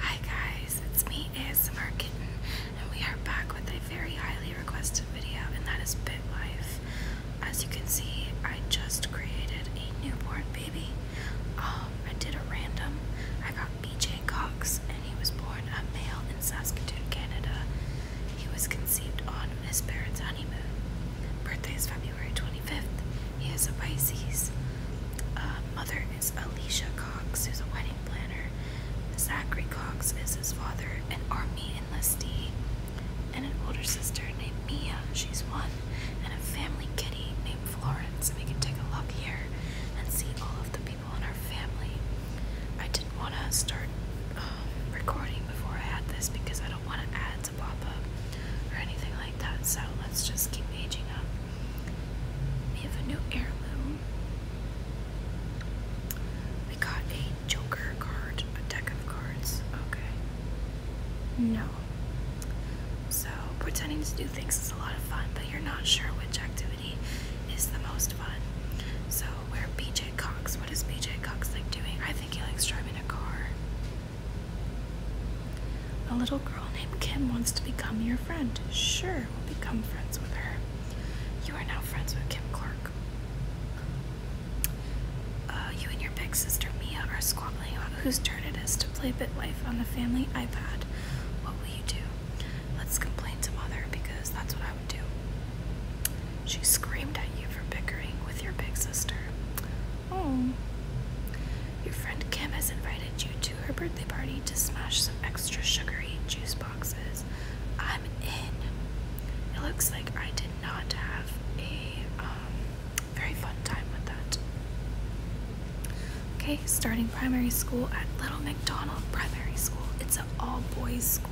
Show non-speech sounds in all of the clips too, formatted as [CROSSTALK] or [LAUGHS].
Hi guys, it's me ASMR Kitten, and we are back with a very highly requested video, and that is BitLife. As you can see, I just created a newborn baby. Um, I did a random. I got BJ Cox, and he was born a male in Saskatoon, Canada. He was conceived on his parents' honeymoon. Birthday is February 25th. He is a Pisces. Uh, mother is Alicia Cox, who's a wedding planner. Zachary Cox is his father, an army enlistee, and an older sister named Mia, she's one, and a family kitty named Florence. We can take a look here and see all of the people in our family. I didn't want to start um, recording before I had this because I don't want to add to pop up or anything like that, so let's just keep aging up. We have a new heirloom. We got a Joker card, a deck of cards. Okay. No. So, pretending to do things is a lot of fun, but you're not sure which activity is the most fun. So, where BJ Cox. What does BJ Cox like doing? I think he likes driving a car. A little girl named Kim wants to become your friend. Sure, we'll become friends with her. You are now friends with Kim Clark. Uh, you and your big sister Mia are squabbling about whose turn it is to play BitLife on the family iPad. What will you do? Let's complain to Mother because that's what I would do. She screamed at you for bickering with your big sister. Oh. Your friend Kim has invited you to her birthday party to smash some extra sugary juice boxes. I'm in. It looks like I did not have a um, very fun time with that. Okay, starting primary school at Little McDonald Primary School. It's an all boys school.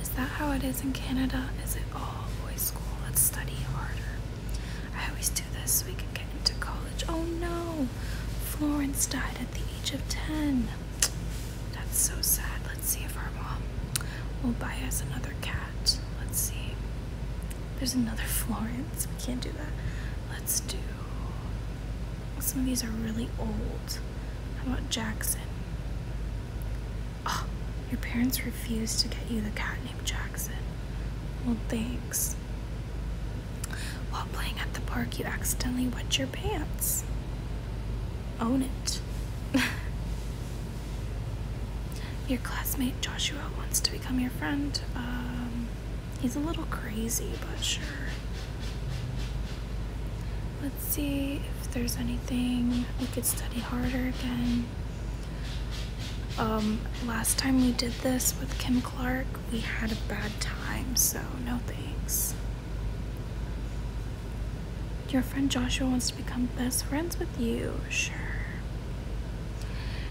Is that how it is in Canada? Is it all boys school? Let's study harder. I always do this so we can get into college. Oh no! Florence died at the age of 10. That's so sad. Let's see if our mom will buy us another cat. Let's see. There's another Florence. We can't do that. Let's do. Some of these are really old. How about Jackson? Oh, your parents refused to get you the cat named Jackson. Well, thanks. While playing at the park, you accidentally wet your pants. Own it. [LAUGHS] your classmate Joshua wants to become your friend. Um, he's a little crazy, but sure. Let's see if there's anything we could study harder again. Um, last time we did this with Kim Clark, we had a bad time, so no thanks. Your friend Joshua wants to become best friends with you. Sure.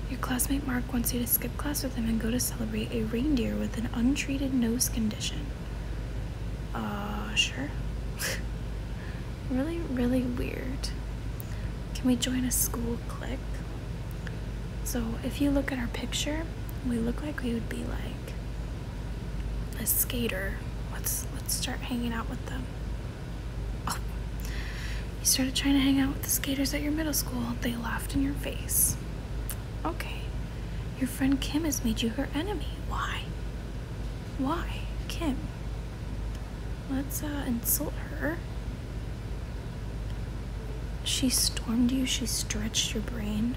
Your classmate Mark wants you to skip class with him and go to celebrate a reindeer with an untreated nose condition. Uh, sure. [LAUGHS] really, really weird. Can we join a school clique? So if you look at our picture, we look like we would be like a skater. Let's let's start hanging out with them. Oh, you started trying to hang out with the skaters at your middle school. They laughed in your face. Okay. Your friend Kim has made you her enemy. Why? Why, Kim? Let's uh, insult her she stormed you, she stretched your brain.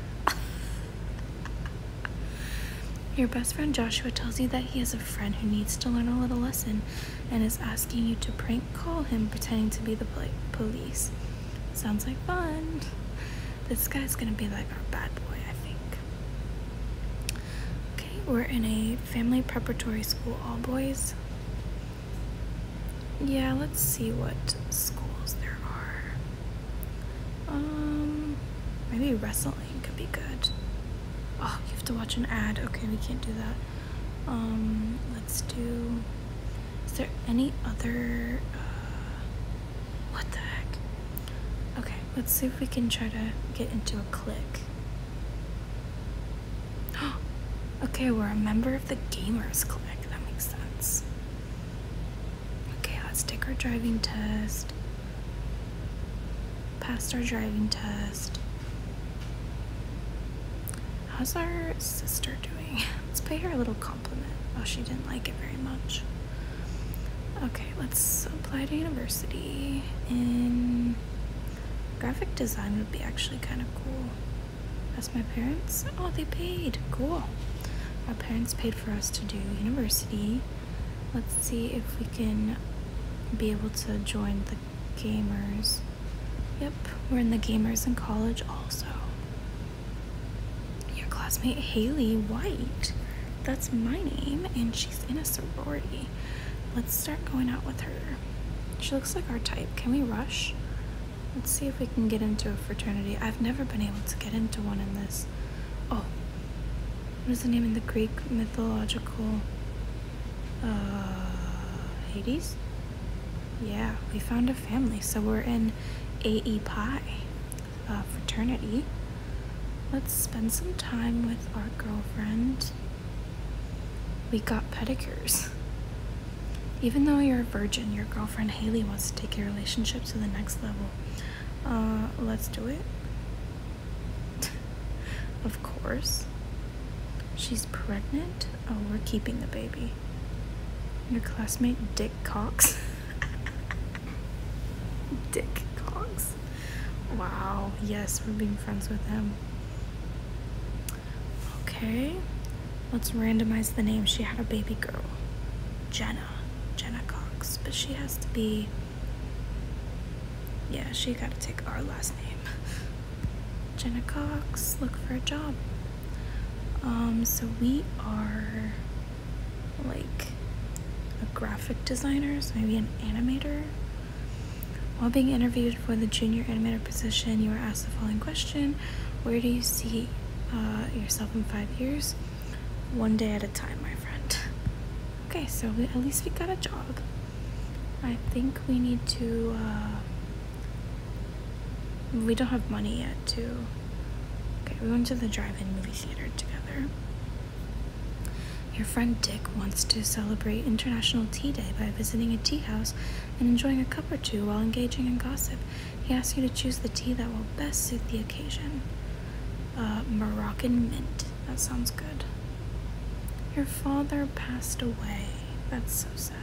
your best friend Joshua tells you that he has a friend who needs to learn a little lesson and is asking you to prank call him pretending to be the police. Sounds like fun. This guy's gonna be like our bad boy, I think. Okay, we're in a family preparatory school, all boys. Yeah, let's see what schools there are. Um, maybe wrestling could be good. Oh, you have to watch an ad. Okay, we can't do that. Um, let's do. Is there any other? Uh, what the heck? Okay, let's see if we can try to get into a click. [GASPS] okay, we're a member of the Gamers Clique. That makes sense. Okay, let's take our driving test. Passed our driving test. How's our sister doing? [LAUGHS] Let's pay her a little compliment. Oh, she didn't like it very much. Okay, let's apply to university in graphic design would be actually kind of cool. That's my parents? Oh, they paid. Cool. Our parents paid for us to do university. Let's see if we can be able to join the gamers. Yep, we're in the gamers in college also. Your classmate Haley White. That's my name, and she's in a sorority. Let's start going out with her. She looks like our type. Can we rush? Let's see if we can get into a fraternity. I've never been able to get into one in this. Oh, what is the name in the Greek mythological? Uh, Hades? Yeah, we found a family, so we're in AE Pi uh, fraternity. Let's spend some time with our girlfriend. We got pedicures. Even though you're a virgin, your girlfriend Haley wants to take your relationship to the next level. Uh, let's do it. [LAUGHS] of course. She's pregnant? Oh, we're keeping the baby. Your classmate, Dick Cox. [LAUGHS] Dick Cox. Wow, yes, we're being friends with him. Okay. Let's randomize the name. She had a baby girl. Jenna. Jenna Cox. But she has to be. Yeah, she got to take our last name. [LAUGHS] Jenna Cox, look for a job. Um, so we are like a graphic designer, so maybe an animator. While being interviewed, for the junior animator position, you were asked the following question Where do you see uh, yourself in five years? One day at a time, my friend. Okay, so at least we got a job. I think we need to. Uh, we don't have money yet too. Okay, we went to the drive in movie theater together. Your friend Dick wants to celebrate International Tea Day by visiting a tea house and enjoying a cup or two while engaging in gossip. He asks you to choose the tea that will best suit the occasion. Uh, Moroccan mint. That sounds good. Your father passed away. That's so sad.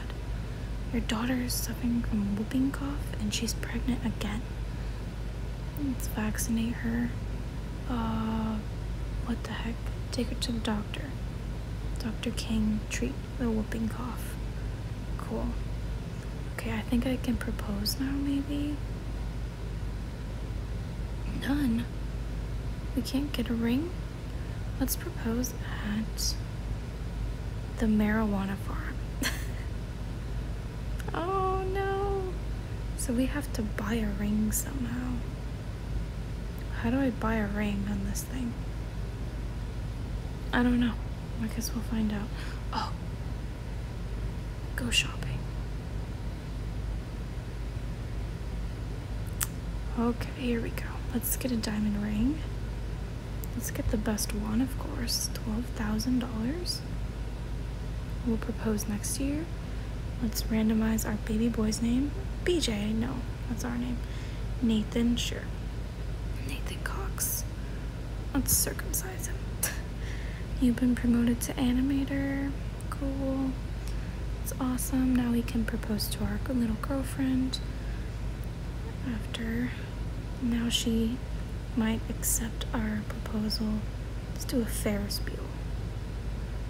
Your daughter is suffering from whooping cough and she's pregnant again. Let's vaccinate her. Uh, what the heck? Take her to the doctor. Dr. King, treat the whooping cough. Cool. Okay, I think I can propose now, maybe? None. We can't get a ring? Let's propose at the marijuana farm. [LAUGHS] oh no. So we have to buy a ring somehow. How do I buy a ring on this thing? I don't know. I guess we'll find out. Oh, go shopping. Okay, here we go. Let's get a diamond ring. Let's get the best one, of course. $12,000. We'll propose next year. Let's randomize our baby boy's name. BJ, no. What's our name. Nathan, sure. Nathan Cox. Let's circumcise him. [LAUGHS] You've been promoted to animator. Cool. It's awesome. Now we can propose to our little girlfriend. After. Now she might accept our proposal. Let's do a Ferris Bueller.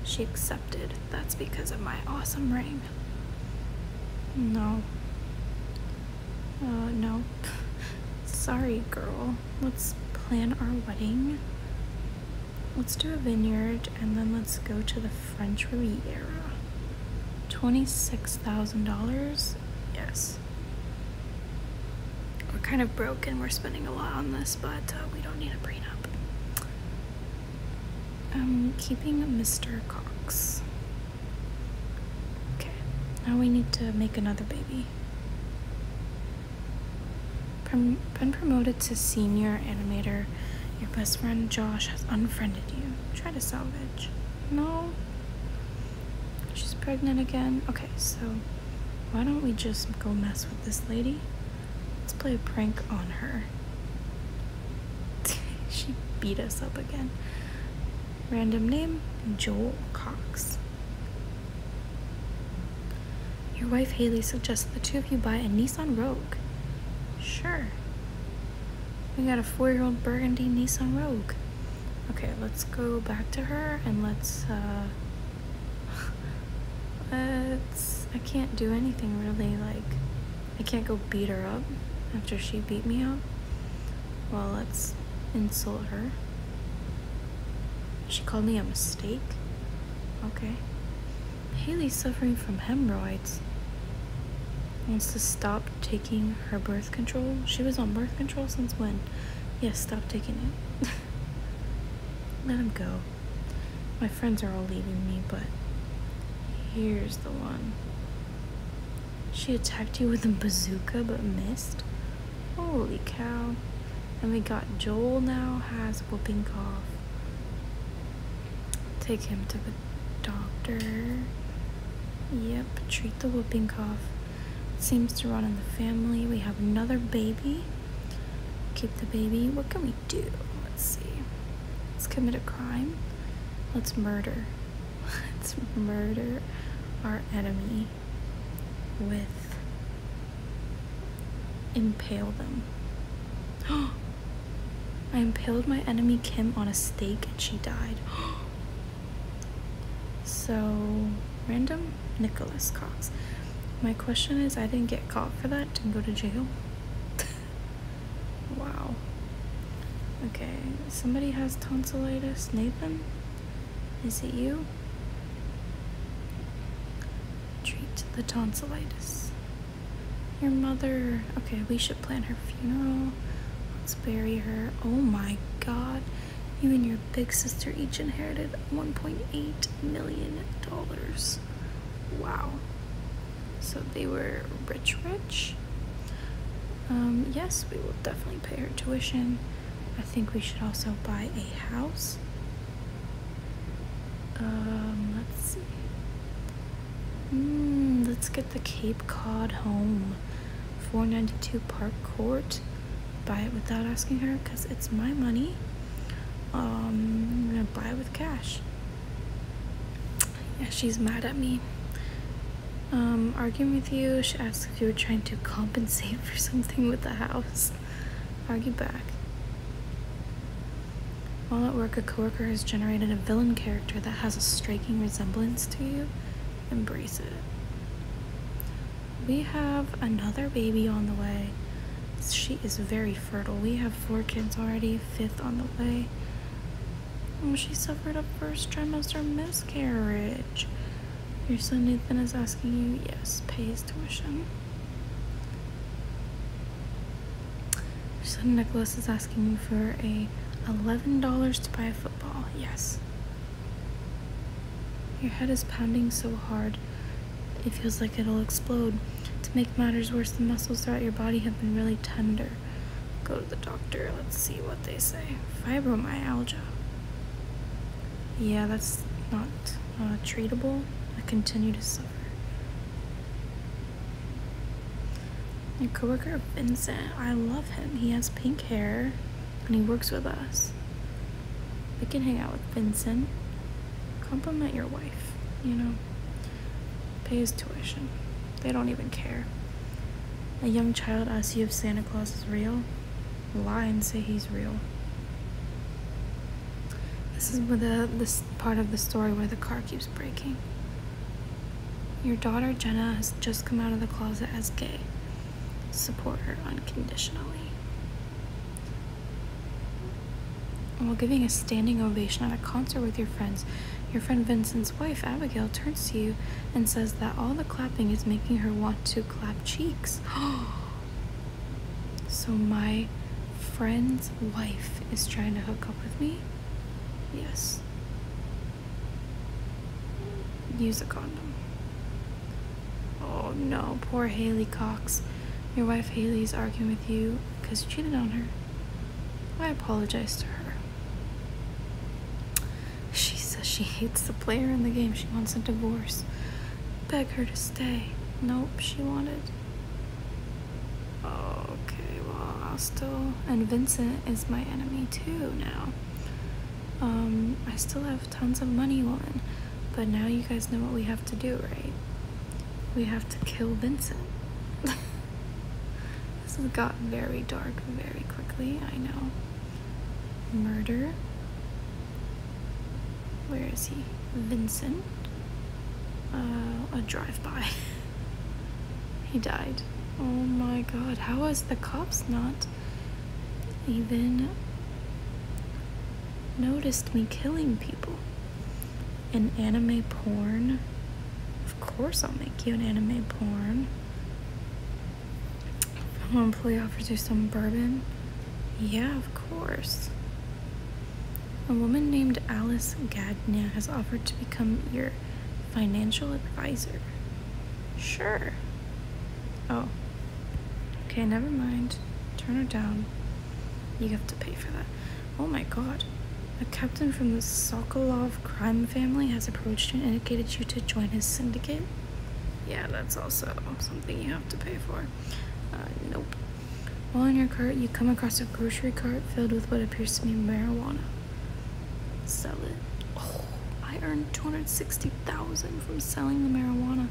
She accepted. That's because of my awesome ring. No. Uh, no. [LAUGHS] Sorry, girl. Let's plan our wedding. Let's do a vineyard and then let's go to the French Riviera. $26,000? Yes. We're kind of broke and we're spending a lot on this, but uh, we don't need a brain up. I'm um, keeping Mr. Cox. Okay, now we need to make another baby. been promoted to senior animator. Your best friend Josh has unfriended you. Try to salvage. No. She's pregnant again. Okay, so why don't we just go mess with this lady? Let's play a prank on her. [LAUGHS] she beat us up again. Random name Joel Cox. Your wife Haley suggests the two of you buy a Nissan Rogue. Sure. We got a four year old burgundy Nissan Rogue. Okay, let's go back to her and let's, uh, [LAUGHS] let's, I can't do anything really, like, I can't go beat her up after she beat me up. Well, let's insult her. She called me a mistake? Okay. Haley's suffering from hemorrhoids. Wants to stop taking her birth control. She was on birth control since when? Yes, stop taking it. [LAUGHS] Let him go. My friends are all leaving me, but here's the one. She attacked you with a bazooka but missed? Holy cow. And we got Joel now has whooping cough. Take him to the doctor. Yep, treat the whooping cough. seems to run in the family. We have another baby. Keep the baby. What can we do? Let's see. Let's commit a crime. Let's murder. [LAUGHS] Let's murder our enemy with impale them. [GASPS] I impaled my enemy Kim on a stake and she died. [GASPS] so, random Nicholas Cox. My question is I didn't get caught for that, didn't go to jail. [LAUGHS] wow. Okay, somebody has tonsillitis. Nathan? Is it you? Treat the tonsillitis. Your mother. Okay, we should plan her funeral. Let's bury her. Oh my god. You and your big sister each inherited $1.8 million. Wow so they were rich rich um, yes we will definitely pay her tuition i think we should also buy a house um, let's see mm, let's get the cape cod home 492 park court buy it without asking her because it's my money um, i gonna buy it with cash yeah, she's mad at me. Um, arguing with you. She asks if you were trying to compensate for something with the house. Argue back. While at work, a coworker has generated a villain character that has a striking resemblance to you. Embrace it. We have another baby on the way. She is very fertile. We have four kids already, fifth on the way. She suffered a first trimester miscarriage. Your son Nathan is asking you, yes, pay his tuition. Your son Nicholas is asking you for a $11 to buy a football, yes. Your head is pounding so hard, it feels like it'll explode. To make matters worse, the muscles throughout your body have been really tender. Go the doctor. Let's see what they say. Fibromyalgia. Yeah, that's not treatable. I continue to suffer. Your coworker Vincent, I love him. He has pink hair and he works with us. We can hang out with Vincent. Compliment your wife, you know. Pay his tuition. They don't even care. A young child asks you if Santa Claus is real. Lie and say he's real. This is where the this part of the story where the car keeps breaking. Your daughter Jenna has just come out of the closet as gay. Support her unconditionally. while giving a standing ovation at a concert with your friends, your friend Vincent's wife, Abigail, turns to you and says that all the clapping is making her want to clap cheeks. [GASPS] so, my friend's wife is trying to hook up with me? Yes. Use a condom. Oh no, poor Haley Cox. Your wife Haley's arguing with you because you cheated on her. I apologize to her. She says she hates the player in the game. She wants a divorce. Beg her to stay. Nope, she wanted. Okay, well, I'll still. And Vincent is my enemy too now. Um, I still have tons of money, woman. But now you guys know what we have to do, right? We have to kill Vincent. [LAUGHS] This has got very dark very quickly, I know. Murder. Where is he? Vincent. Uh, a drive by. [LAUGHS] he died. Oh my god, how is the cops not even noticed me killing people? An anime porn of course I'll make you an anime porn. Fellow employee offers you some bourbon. Yeah, of course. A woman named Alice Gadnia has offered to become your financial advisor. Sure. Oh. Okay, never mind. Turn her down. You have to pay for that. Oh my god. A captain from the Sokolov crime family has approached you and indicated you to join his syndicate? Yeah, that's also something you have to pay for. Uh, nope. While in your cart, you come across a grocery cart filled with what appears to be marijuana. Sell it. Oh, I earned 260000 from selling the marijuana.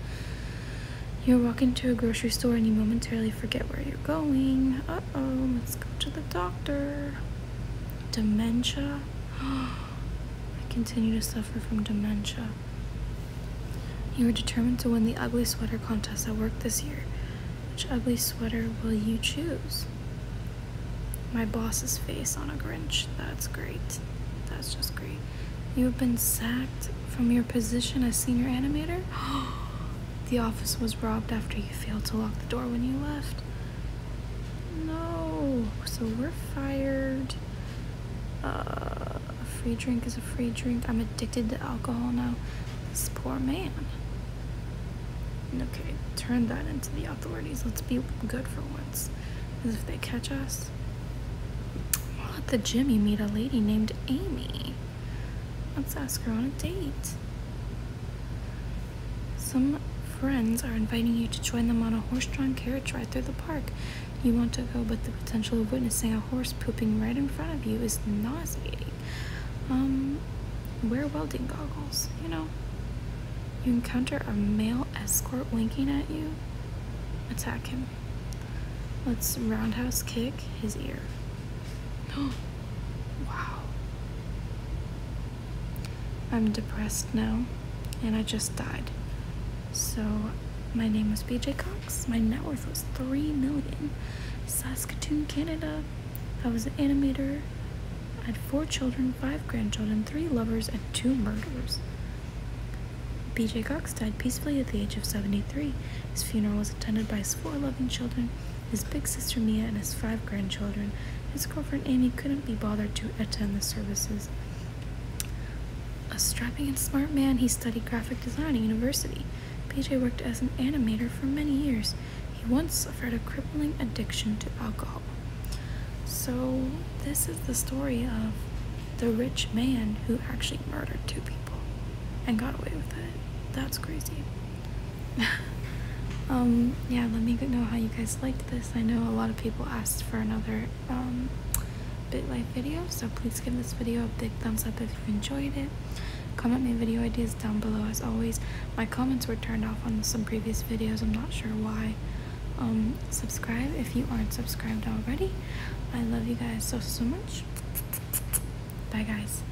You walk into a grocery store and you momentarily forget where you're going. Uh-oh, let's go to the doctor. Dementia? [GASPS] I continue to suffer from dementia. You are determined to win the ugly sweater contest at work this year. Which ugly sweater will you choose? My boss's face on a Grinch. That's great. That's just great. You have been sacked from your position as senior animator? [GASPS] [GASPS] The office was robbed after you failed to lock the door when you left. No, so we're fired. Uh, a free drink is a free drink. I'm addicted to alcohol now. This poor man. Okay, turn that into the authorities. Let's be good for once. Because if they catch us, I'll let the Jimmy meet a lady named Amy. Let's ask her on a date. Some friends are inviting you to join them on a horse drawn carriage ride through the park. You want to go, but the potential of witnessing a horse pooping right in front of you is nauseating. Um, wear welding goggles, you know. You encounter a male escort winking at you. Attack him. Let's roundhouse kick his ear. [GASPS] wow. I'm depressed now, and I just died. So, my name was BJ Cox. My net worth was three million. Saskatoon, Canada. I was an animator. I had four children, five grandchildren, three lovers, and two murderers. BJ Cox died peacefully at the age of 73. His funeral was attended by his four loving children his big sister Mia, and his five grandchildren. His girlfriend Amy couldn't be bothered to attend the services. A strapping and smart man, he studied graphic design at university. PJ worked as an animator for many years. He once suffered a crippling addiction to alcohol. So, this is the story of the rich man who actually murdered two people and got away with it. That's crazy. [LAUGHS] um, yeah, let me know how you guys liked this. I know a lot of people asked for another um, BitLife video, so please give this video a big thumbs up if you enjoyed it. Comment my video ideas down below as always. My comments were turned off on some previous videos, I'm not sure why. Um, subscribe if you aren't subscribed already. I love you guys so, so much. Bye guys.